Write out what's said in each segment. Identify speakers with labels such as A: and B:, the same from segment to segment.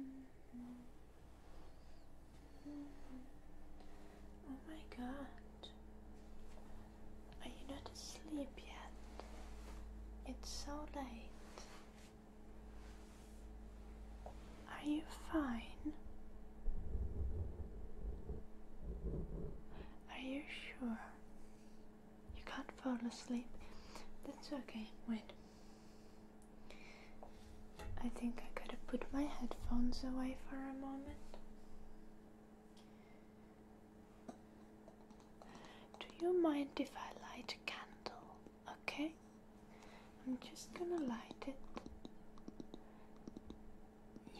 A: Mm-hmm. Oh my god. Are you not asleep yet? It's so late. Are you fine? Are you sure? You can't fall asleep. That's okay. Wait. I think I could have put my headphones away for a moment. Do you mind if I light a candle? Okay? I'm just gonna light it.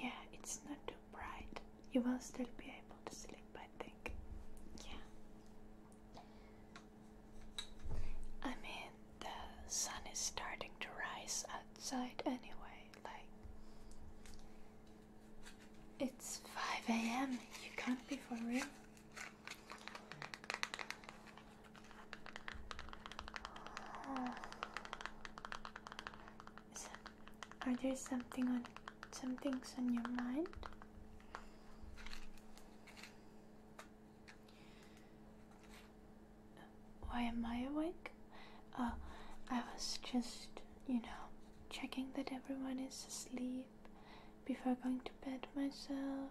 A: Yeah, it's not too bright. You will still be able to sleep, I think. Yeah. I mean, the sun is starting to rise outside anyway, like. It's 5 a.m. You can't be for real. are there something on some things on your mind? Why am I awake? Oh, I was just, you know, checking that everyone is asleep before going to bed myself.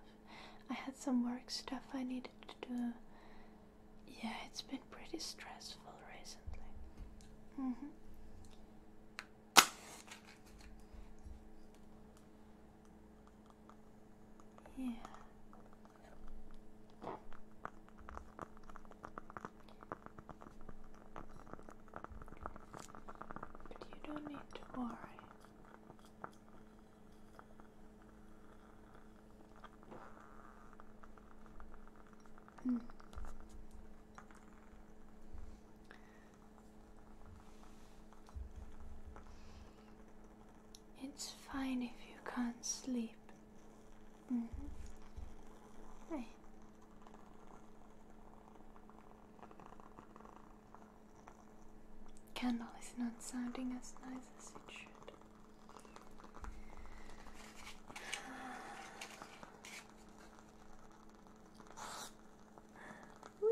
A: I had some work stuff I needed to do. Yeah, it's been pretty stressful recently. Mm hmm. Yeah. But you don't need to worry. Mm. It's fine if you can't sleep. -hmm. Hey. Candle is not sounding as nice as it should. Whee.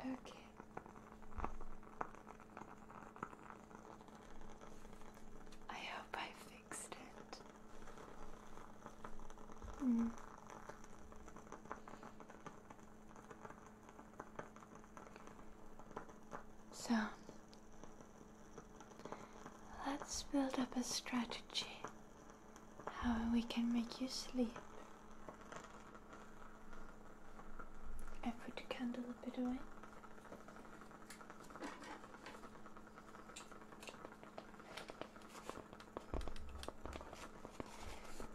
A: Okay. I hope I fixed it. Mm. So, let's build up a strategy how we can make you sleep. I put the candle a bit away.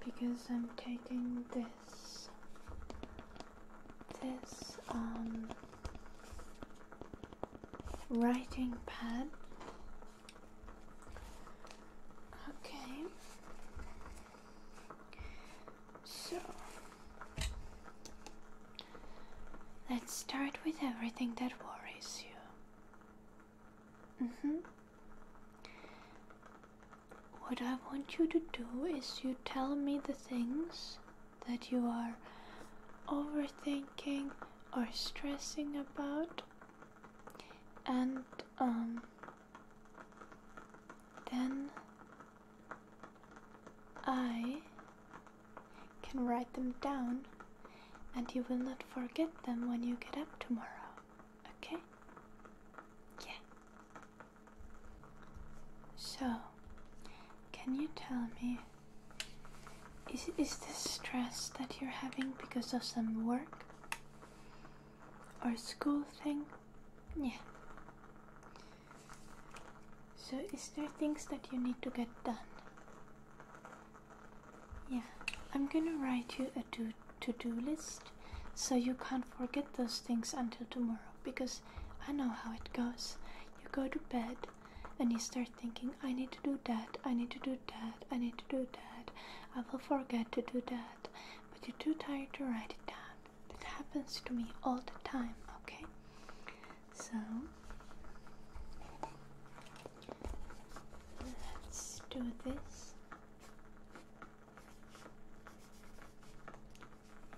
A: Because I'm taking this this um, writing pad. Okay. So let's start with everything that worries you. Mm hmm. What I want you to do is you tell me the things that you are overthinking or stressing about, and um, then I can write them down, and you will not forget them when you get up tomorrow. Okay? Yeah. So, can you tell me is is this stress that you're having because of some work or school thing? Yeah. So, is there things that you need to get done? Yeah, I'm gonna write you a to to-do list so you can't forget those things until tomorrow because I know how it goes. You go to bed and you start thinking, I need to do that, I need to do that, I need to do that, I will forget to do that, but you're too tired to write it down. That happens to me all the time, okay? So, let's do this.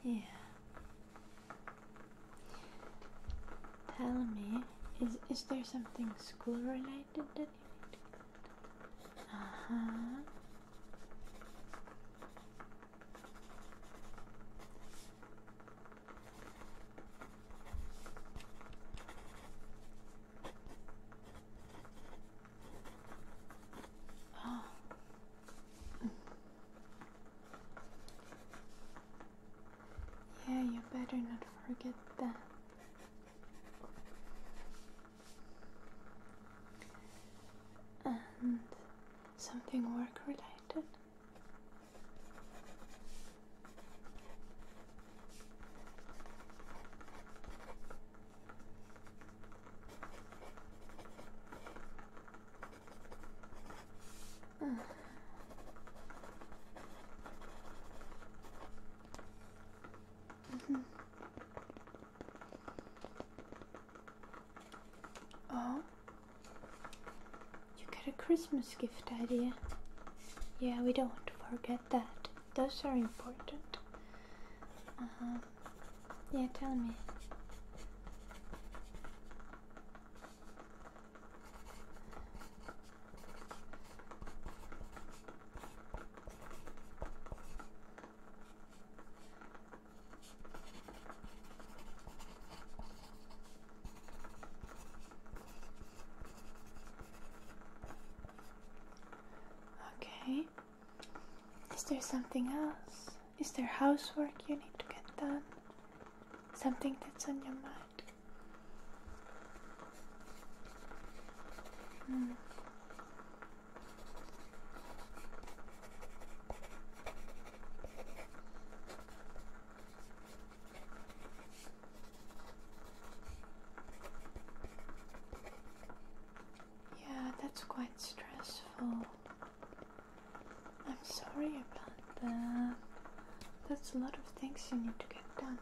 A: Yeah. Tell me, is is there something school related that you need to get? Uh-huh. Oh. Yeah, you better not forget that. And something work related. Mm-hmm. oh, you got a Christmas gift idea. Yeah, we don't forget that. Those are important. Uh Yeah, tell me. Okay. Is there something else? Is there housework you need to get done? Something that's on your mind? Mm. Yeah, that's quite stressful. I'm sorry about that. That's a lot of things you need to get done.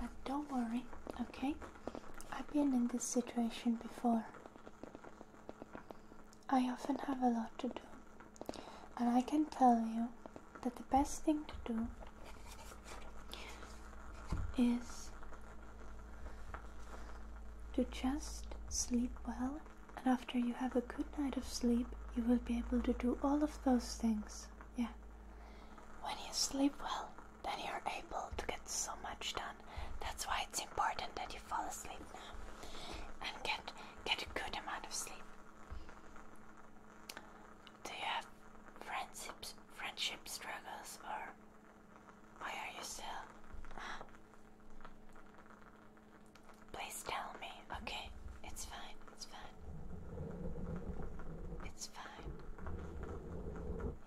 A: But don't worry, okay? I've been in this situation before. I often have a lot to do, and I can tell you that the best thing to do is to just sleep well, and after you have a good night of sleep, you will be able to do all of those things. Yeah. When you sleep well, then you're able to get so much done. That's why it's important that you fall asleep now and get get a good amount of sleep. Do you have friendships, friendship struggles, or why are you still? Please tell me. Okay, it's fine. It's fine. It's fine.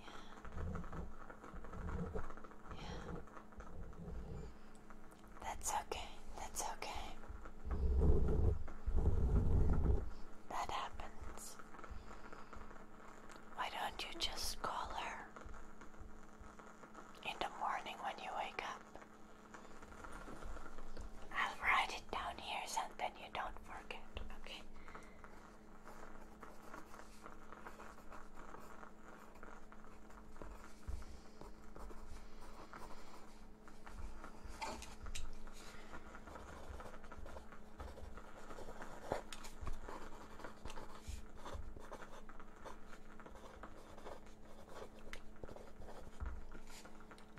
A: Yeah. Yeah. That's okay. That's okay. That happens. Why don't you just call her in the morning when you wake up? I'll write it down here so that you don't forget, okay?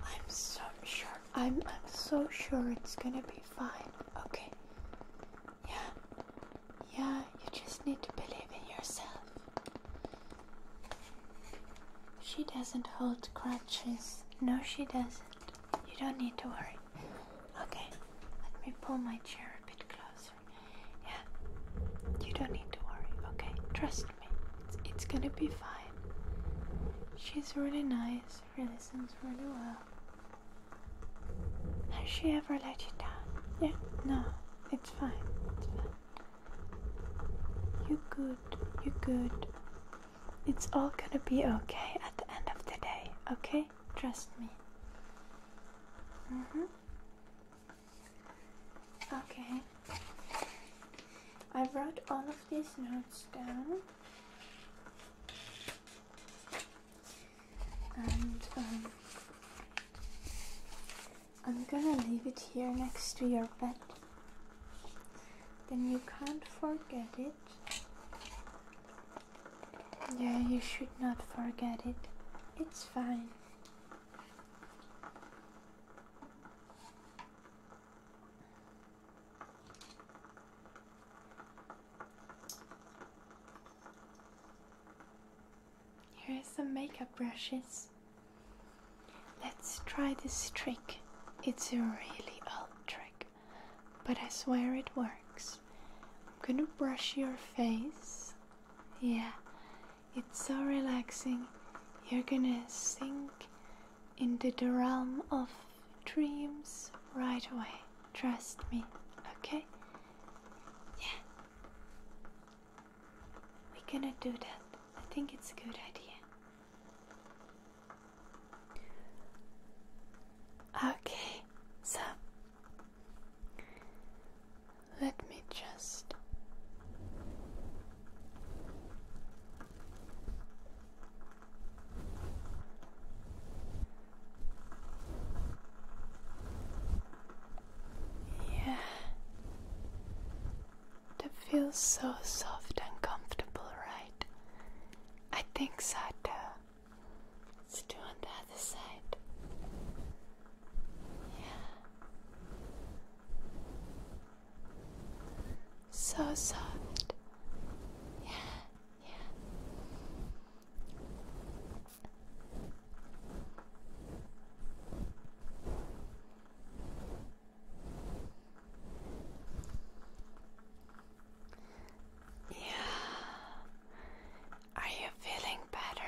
A: I'm so sure. I'm I'm so sure it's gonna be fine. Okay. Yeah. Yeah, you just need to believe in yourself. She doesn't hold crutches. No, she doesn't. You don't need to worry. Okay, let me pull my chair a bit closer. Yeah, you don't need to worry. Okay, trust me, it's, gonna be fine. She's really nice, really sings really well. Has she ever let you down? Yeah, no, it's fine, You're good, you are good. It's all gonna be okay at the end of the day, okay? Trust me. hmm. Okay. I wrote all of these notes down. And um, I'm gonna leave it here next to your bed. Then you can't forget it. Yeah, you should not forget it. It's fine. Here's some makeup brushes. Let's try this trick. It's a really old trick but I swear it works. I'm gonna brush your face. Yeah, it's so relaxing. You're gonna sink into the realm of dreams right away. Trust me, okay? Yeah. We're gonna do that. I think it's a good idea. Okay, so let me just yeah, that feels so soft and comfortable, right? I think so too. Let's do on the other side. Yeah. So soft. Yeah, yeah. Yeah. Are you feeling better?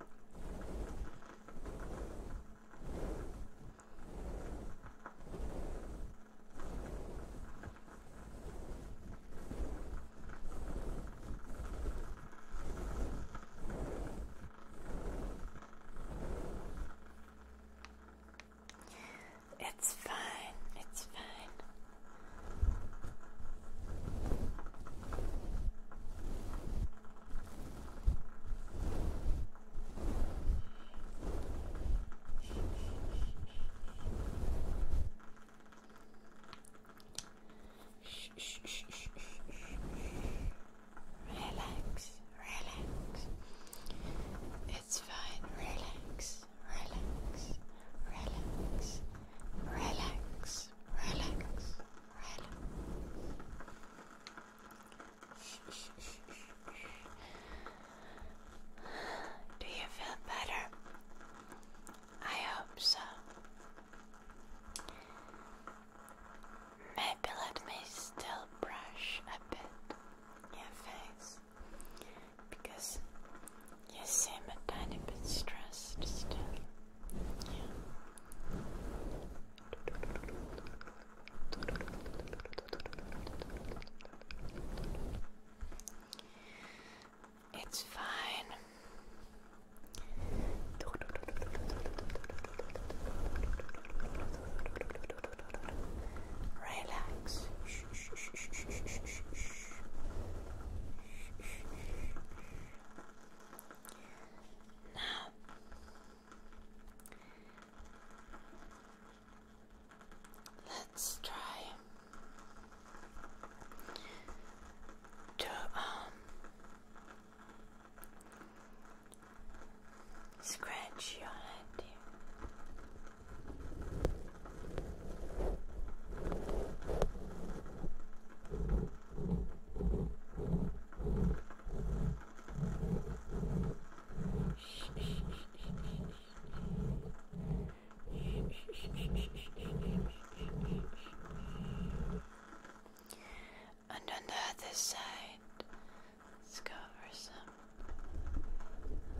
A: It's fine, it's fine. Relax, relax. It's fine. Relax, relax, relax, relax, relax. Do you feel better? I hope so. Maybe let me still brush a bit your face because Yes, I'm a tiny bit stressed still. Yeah. It's fine. Relax. Now, let's try to um, scratch your head and on the other side, let some. Uh,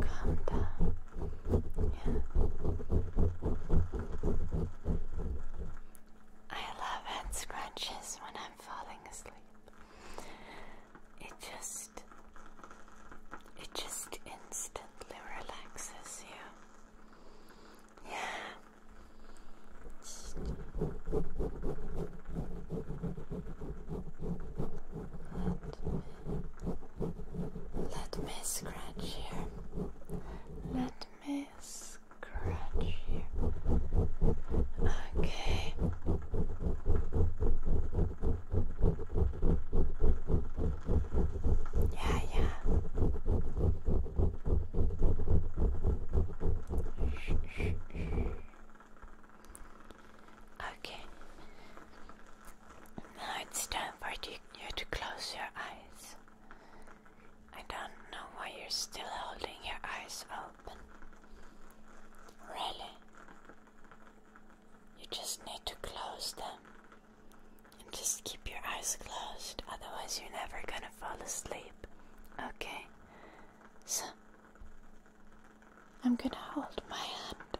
A: Calm down. Yeah. I love head scratches when I'm falling asleep. It just it just instantly relaxes you. Yeah. Let me, scratch here. Let me scratch here. Okay. Yeah, yeah okay. Now it's time for you to close your eyes. I don't know why you're still holding your eyes open. Really? You just need to close them. And just keep your eyes closed, otherwise, you're never gonna fall asleep. Okay? So, I'm gonna hold my hand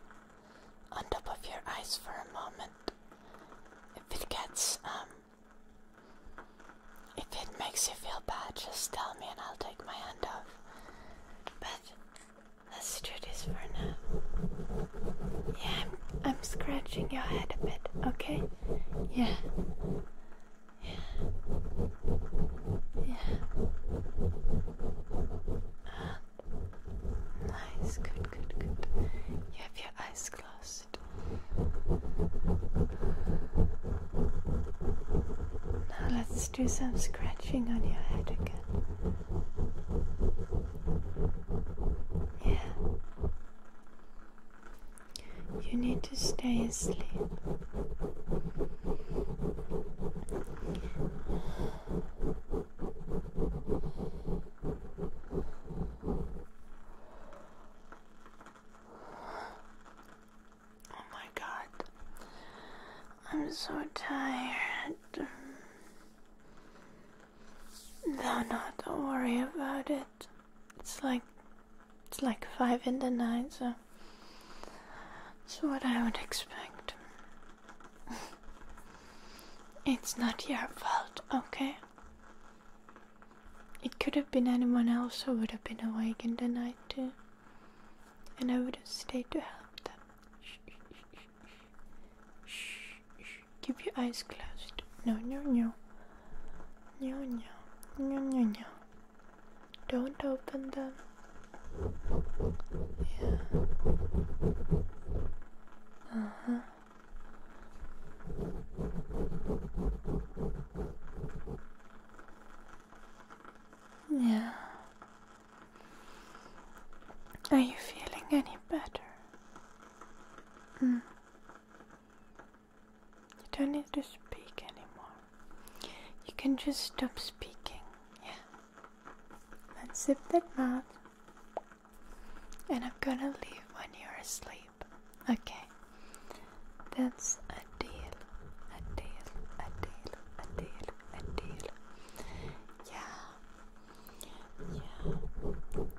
A: on top of your eyes for a moment. If it gets, um, if it makes you feel bad, just tell me and I'll take my hand off. But let's do this for now. Yeah, I'm, I'm scratching your head a bit, okay? Yeah. Yeah. Yeah. Ah. Nice. Good, good, good. You have your eyes closed. Now let's do some scratching on your head again. Yeah. You need to stay asleep. Oh my god, I'm so tired. No, not worry about it. It's like it's like five in the night, so that's what I would expect. it's not your fault, okay? It could have been anyone else who would have been awake in the night too. And I would have stayed to help them. Shh, shh, shh, shh. Keep your eyes closed. No, no, no. No, no, no, no, no. Don't open them. Yeah. Uh huh. Yeah. Are you feeling any better? Mm. You don't need to speak anymore. You can just stop speaking. Yeah. Let's zip that mouth. And I'm gonna leave when you're asleep. Okay. That's a deal. A deal. A deal. A deal. A deal. Yeah. Yeah.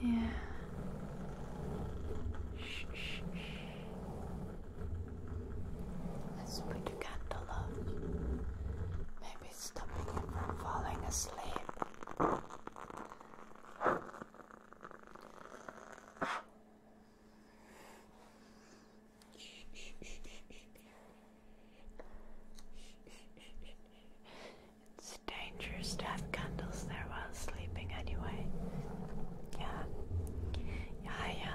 A: Yeah. Shh, Let's put the candle Maybe stopping you from falling asleep. It's dangerous to have candles there while sleeping anyway. Yeah. Yeah, uh, yeah.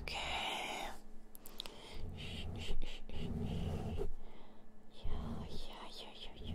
A: Okay. Yeah, yeah, yeah, yeah, yeah.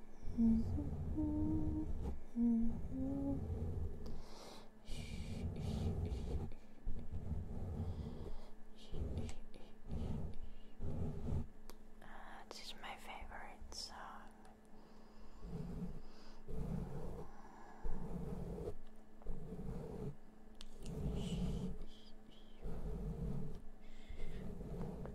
A: this is my favorite song.